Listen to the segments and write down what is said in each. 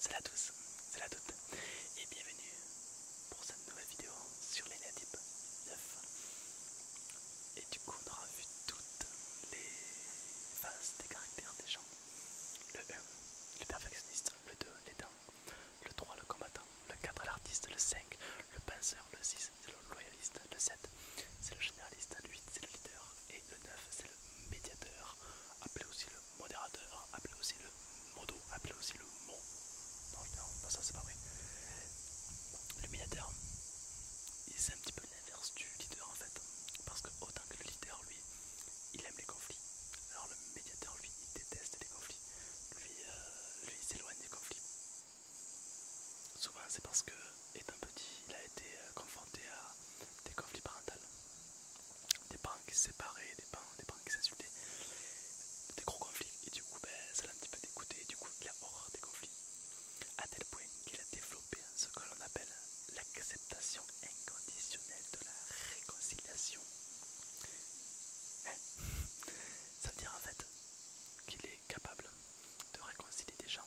Salut à tous, salut à toutes et bienvenue pour cette nouvelle vidéo sur les Ladip 9 et du coup on aura vu toutes les phases des caractères des gens le 1, le perfectionniste, le 2, l'aidant, le 3, le combattant, le 4, l'artiste, le 5, le penseur, le 6, c'est le loyaliste, le 7, c'est le généraliste, le 8, c'est le leader et le 9, c'est le le médiateur, appelé aussi le modérateur, appelé aussi le modo, appelé aussi le mot. Non, ça c'est pas vrai. Le médiateur, c'est un petit peu l'inverse du leader en fait. Parce que autant que le leader, lui, il aime les conflits. Alors le médiateur, lui, il déteste les conflits. Lui, euh, lui il s'éloigne des conflits. Souvent, c'est parce que un petit, il a été euh, confronté à des conflits parentaux, des parents qui se séparaient, des parents, qui s'insultaient, des gros conflits, et du coup, ben, ça l'a un petit peu dégoûté, et du coup, il a horreur des conflits, à tel point qu'il a développé ce que l'on appelle l'acceptation inconditionnelle de la réconciliation. Hein? ça veut dire en fait qu'il est capable de réconcilier des gens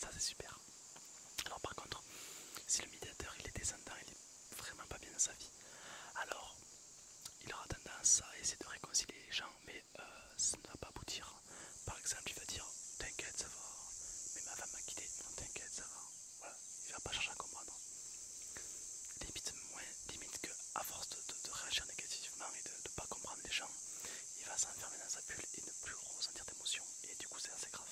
ça c'est super. Alors par contre, si le médiateur il est descendant, il est vraiment pas bien dans sa vie, alors il aura tendance à essayer de réconcilier les gens, mais euh, ça ne va pas aboutir. Par exemple, il va dire T'inquiète, ça va, mais ma femme m'a quitté, non, t'inquiète, ça va. Voilà, il va pas chercher à comprendre. Limite, moins, limite que à force de, de réagir négativement et de ne pas comprendre les gens, il va s'enfermer dans sa bulle et ne plus ressentir d'émotion. Et du coup, c'est assez grave.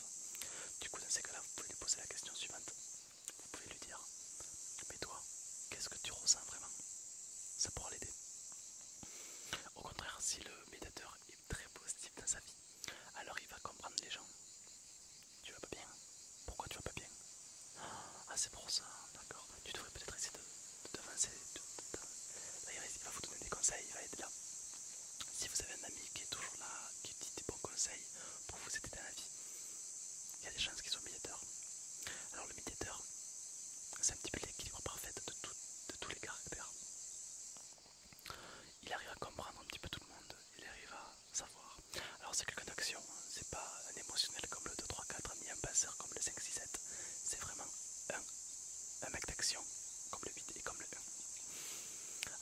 Du coup, dans ces cas-là, vous pouvez lui poser la question suivante. Vous pouvez lui dire Mais toi, qu'est-ce que tu ressens vraiment Ça pourra l'aider. Au contraire, si le médiateur est très positif dans sa vie, alors il va comprendre les gens. Tu vas pas bien Pourquoi tu vas pas bien Ah, c'est pour ça, d'accord. Tu devrais peut-être essayer de t'avancer. il va vous donner des conseils, il va être là. Si vous avez un ami qui est toujours là, qui dit des bons conseils pour vous aider dans la vie, il y a des chances qu'il soit médiateur. Alors le médiateur, c'est un petit peu l'équilibre parfait de, tous les caractères. Il arrive à comprendre un petit peu tout le monde, il arrive à savoir. Alors c'est quelqu'un d'action, hein. c'est pas un émotionnel comme le 2, 3, 4, ni un passeur comme le 5, 6, 7. C'est vraiment un un mec d'action, comme le 8 et comme le 1. E.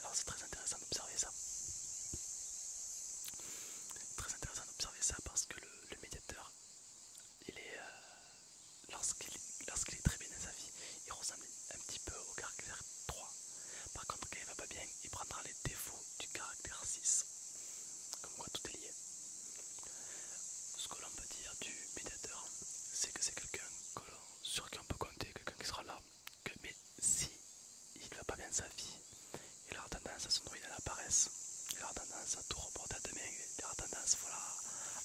Alors c'est très intéressant d'observer ça. Très intéressant d'observer ça parce que le, médiateur, il est, euh, lorsqu'il est très bien dans sa vie, il ressemble un petit peu au caractère 3. Par contre, quand il va pas bien, il prendra les défauts du caractère 6. Comme quoi tout est lié. Ce que l'on peut dire du médiateur, c'est que c'est quelqu'un sur qui on peut compter, quelqu'un qui sera là. Que, mais si il va pas bien sa vie, il aura tendance à se noyer à la paresse, il aura tendance à tout reporter à demain, il aura tendance voilà,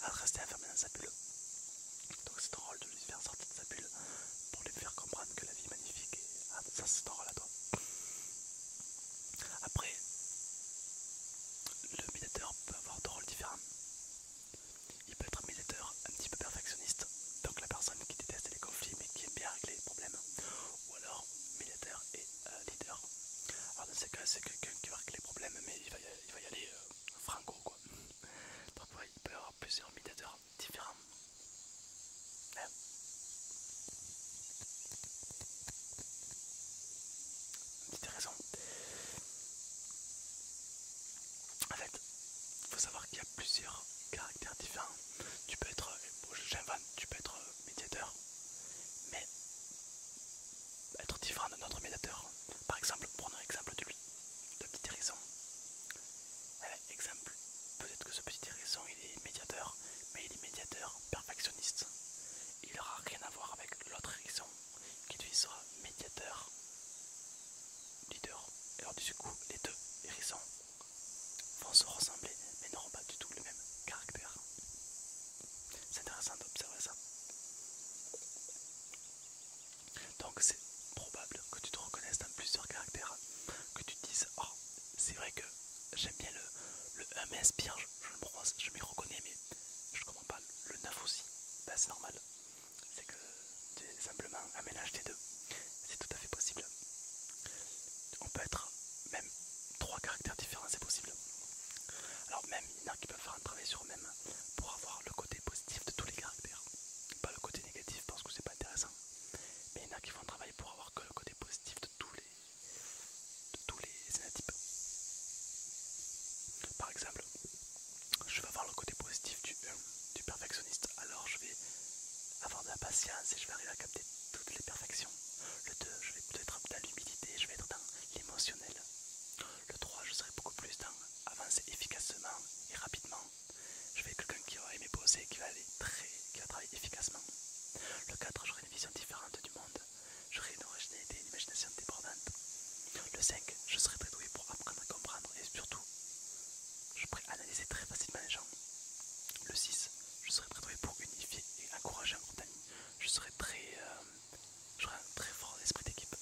à rester enfermé dans sa bulle. Donc c'est ton rôle de lui faire sortir de sa bulle pour lui faire comprendre que la vie est magnifique. Et, ah, ça c'est ton rôle à toi. Après, le médiateur peut avoir deux rôles différents. Il peut être un médiateur un petit peu perfectionniste, donc la personne qui déteste les conflits mais qui aime bien régler les problèmes, ou alors médiateur et euh, leader. Alors dans ces cas, c'est quelqu'un qui va régler les problèmes mais il va y, aller euh, franco quoi. Parfois, il peut y avoir plusieurs médiateurs différents. Hein? Petite raison. En fait, il faut savoir qu'il y a plusieurs caractères différents. Tu peux être, j'invente, tu peux être euh, médiateur, mais être différent de notre médiateur. Par exemple, prenons l'exemple de lui, le petit hérisson. Eh ben, exemple, peut-être que ce petit raison il est médiateur, mais il est médiateur perfectionniste. Il n'aura rien à voir avec l'autre raison qui lui sera médiateur, leader. alors du coup, les deux hérissons vont se ressembler, mais n'auront pas du tout le même caractère. C'est intéressant d'observer ça. Donc c'est probable que tu te reconnaisses dans plusieurs caractères, que tu te dises, oh, c'est vrai que j'aime bien le, le 1 je, me le je reconnais, mais je le 9 aussi. Ben, c'est normal. C'est que simplement un mélange des deux. C'est tout à fait possible. On peut être même trois caractères différents, c'est possible. Alors même il y en a qui peuvent faire un travail sur eux-mêmes pour avoir le côté positif de tous les caractères. Pas le côté négatif parce que c'est pas intéressant. Mais il y en a qui font un travail pour avoir que le côté positif de tous les de tous les Par exemple, je vais avoir le côté positif euh, du perfectionniste, alors je vais avoir de la patience et je vais arriver à capter toutes les perfections. Le 2, je vais peut-être dans l'humidité, je vais être dans l'émotionnel. Le 3, je serai beaucoup plus dans avancer efficacement et rapidement. Je vais être quelqu'un qui va aimer poser, qui très, qui va travailler efficacement. Le 4, j'aurai une vision différente du monde. J'aurai une originalité et une imagination débordante. Le 5, je serai très doué pour apprendre à comprendre et surtout, je pourrai analyser très facilement les gens. Le 6, je serai très doué pour unifier et encourager un groupe Je serai très. Euh, un très fort esprit d'équipe.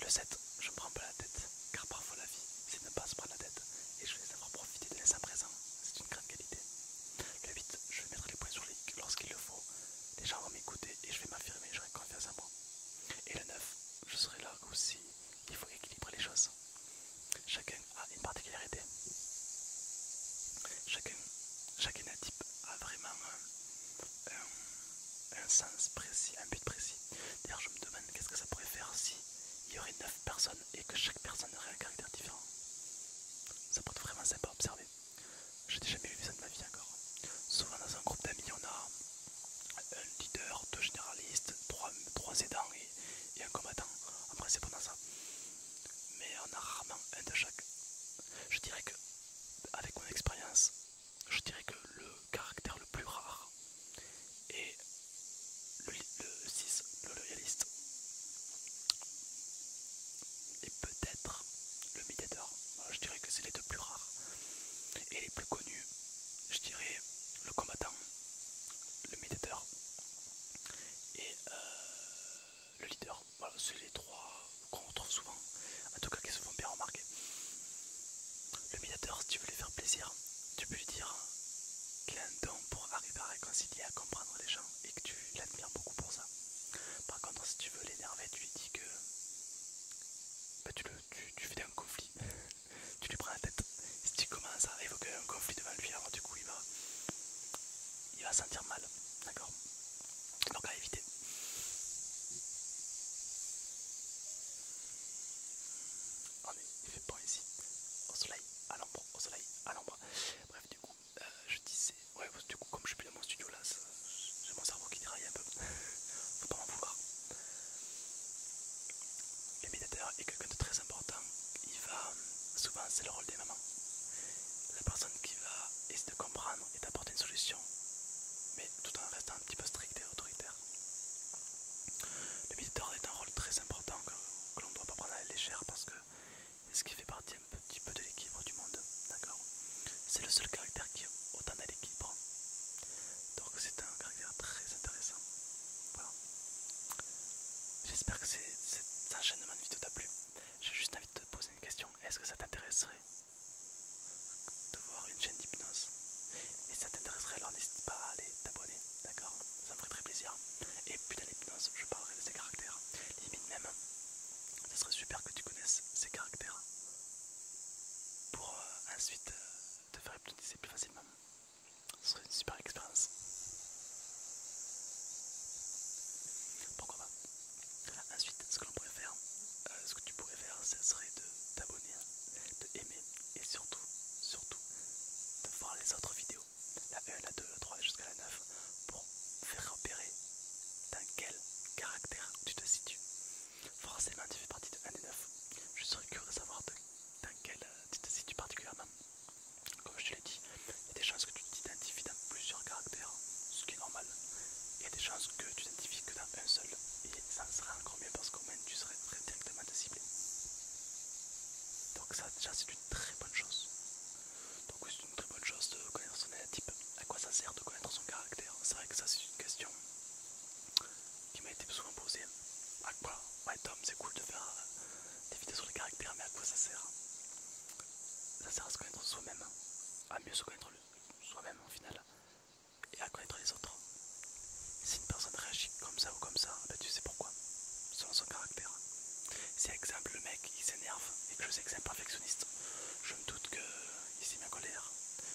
Le 7, je me prends pas la tête, car parfois la vie, c'est ne pas se prendre la tête et je vais savoir profiter de l'instant présent. C'est une grande qualité. Le 8, je vais mettre les points sur les lorsqu'il le faut les gens vont m'écouter et je vais m'affirmer, j'aurai confiance en moi. Et le 9, je serai là aussi, il faut équilibrer les choses. Chacun a une particularité. Chacun, chacun a, type, a vraiment un, sens précis, un but précis. D'ailleurs, je me demande qu'est-ce que ça pourrait faire si il y aurait 9 personnes et que chaque personne aurait un caractère différent. Ça pourrait être vraiment sympa à observer. J'ai n'ai jamais vu ça de ma vie encore. Souvent dans un groupe d'amis, on a un leader, deux généralistes, trois, trois aidants et, un combattant. En c'est pendant ça. Mais on a rarement un de chaque. Je dirais que, avec mon expérience, je dirais que le caractère le plus rare est le 6, le loyaliste et peut-être le médiateur Je dirais que c'est les deux plus rares. Et les plus connus, je dirais le combattant, le médiateur et euh, le leader. Voilà, c'est les trois qu'on retrouve souvent, en tout cas qu'ils se font bien remarquer. Le médiateur, si tu veux lui faire plaisir, tu peux lui dire qu'il a un don pour arriver à réconcilier, à comprendre les gens et que tu l'admires beaucoup pour ça. Par contre, si tu veux l'énerver, tu lui dis que bah, tu, fais un conflit, tu lui prends la tête. Si tu commences à évoquer un conflit devant lui, alors du coup, il va, il va sentir mal, d'accord Donc à éviter. On il fait bon ici, au soleil, à l'ombre, au soleil, à l'ombre. Bref, du coup. Euh, je disais, ouais, du coup, comme je suis plus dans mon studio là, c'est mon cerveau qui déraille un peu, faut pas m'en vouloir. Le médiateur est quelqu'un de très important, il va, euh, souvent c'est le rôle des mamans, la personne qui va essayer de comprendre et d'apporter une solution, mais tout en restant un petit peu strict et autoritaire. Le médiateur est un rôle très important que, l'on ne doit pas prendre à la légère parce que ce qui fait partie un petit peu de l'équilibre du monde, d'accord C'est le seul caractère qui a autant d'équilibre. Donc c'est un caractère très intéressant. Voilà. J'espère que cette cet enchaînement de vidéo t'a plu. J'ai juste envie de te poser une question. Est-ce que ça t'intéresserait de voir une chaîne d'hypnose Et ça t'intéresserait, alors n'hésite pas à aller t'abonner, d'accord Ça me ferait très plaisir. Et puis dans l'hypnose, je parlerai de ces caractères. Limite même, ce serait super que tu connaisses ces caractères pour euh, ensuite euh, te faire hypnotiser plus facilement. Ce serait une super expérience. Pourquoi pas Ensuite, ce que l'on pourrait faire, euh, ce que tu pourrais faire, ce serait de t'abonner, de aimer et surtout, surtout, de voir les autres vidéos la 1, la 2, la 3 jusqu'à la 9 pour faire repérer dans quel caractère tu te situes. Forcément tu fais partie de 1 des 9. Je serais curieux de savoir dans quel euh, tu te situes particulièrement. Comme je te l'ai dit, il y a des chances que tu t'identifies dans plusieurs caractères, ce qui est normal. Il y a des chances que tu t'identifies que dans un seul. Et ça serait encore mieux parce qu'au moins tu serais très directement ciblé. Donc ça déjà c'est une très bonne chose c'est une très bonne chose de connaître son type. À quoi ça sert de connaître son caractère C'est vrai que ça c'est une question qui m'a été souvent posée. À quoi Ouais Tom, c'est cool de faire euh, des vidéos sur le caractère, mais à quoi ça sert Ça sert à se connaître soi-même, à mieux se connaître soi-même au final, et à connaître les autres. Si une personne réagit comme ça ou comme ça, bah, tu sais pourquoi selon son caractère. C'est exemple le mec il s'énerve et que je sais que c'est un perfectionniste, je me doute qu'il s'est mis en colère,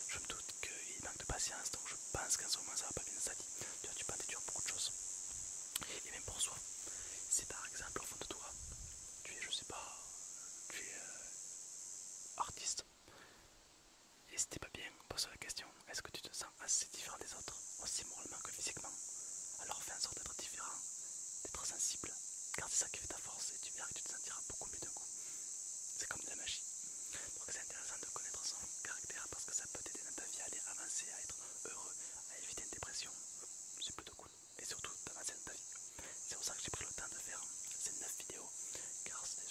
je me doute qu'il manque de patience, donc je pense qu'en ce moment ça va pas bien ça dit, Tu vois, tu peux dur déduire beaucoup de choses. Et même pour soi, si par exemple au fond de toi, tu es, je sais pas, tu es euh, artiste, et si pas bien, pose la question, est-ce que tu te sens assez différent des autres aussi oh, moralement que physiquement. Alors fais en sorte d'être différent, d'être sensible, car c'est ça qui fait ta force et tu verras que tu te sentiras beaucoup mieux d'un coup. C'est comme de la magie. Donc c'est intéressant de connaître son caractère parce que ça peut t'aider dans ta vie à aller avancer, à être heureux, à éviter une dépression. C'est plutôt cool. Et surtout d'avancer dans ta vie. C'est pour ça que j'ai pris le temps de faire ces 9 vidéos, car c'est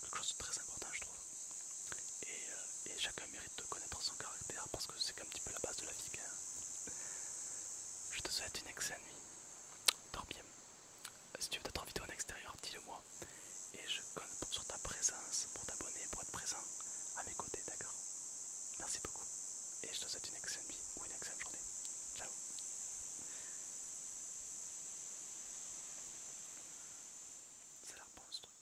quelque chose de très important je trouve. Et, chacun euh, et mérite de connaître son caractère parce que c'est un petit peu la base de la vie. Hein. Je te souhaite une excellente nuit. Dors bien. Si tu veux d'autres vidéos en extérieur, dis-le moi. Et je compte sur ta présence pour t'abonner, pour être présent à mes côtés, d'accord Merci beaucoup. Et je te souhaite une excellente nuit ou une excellente journée. Ciao C'est la hein.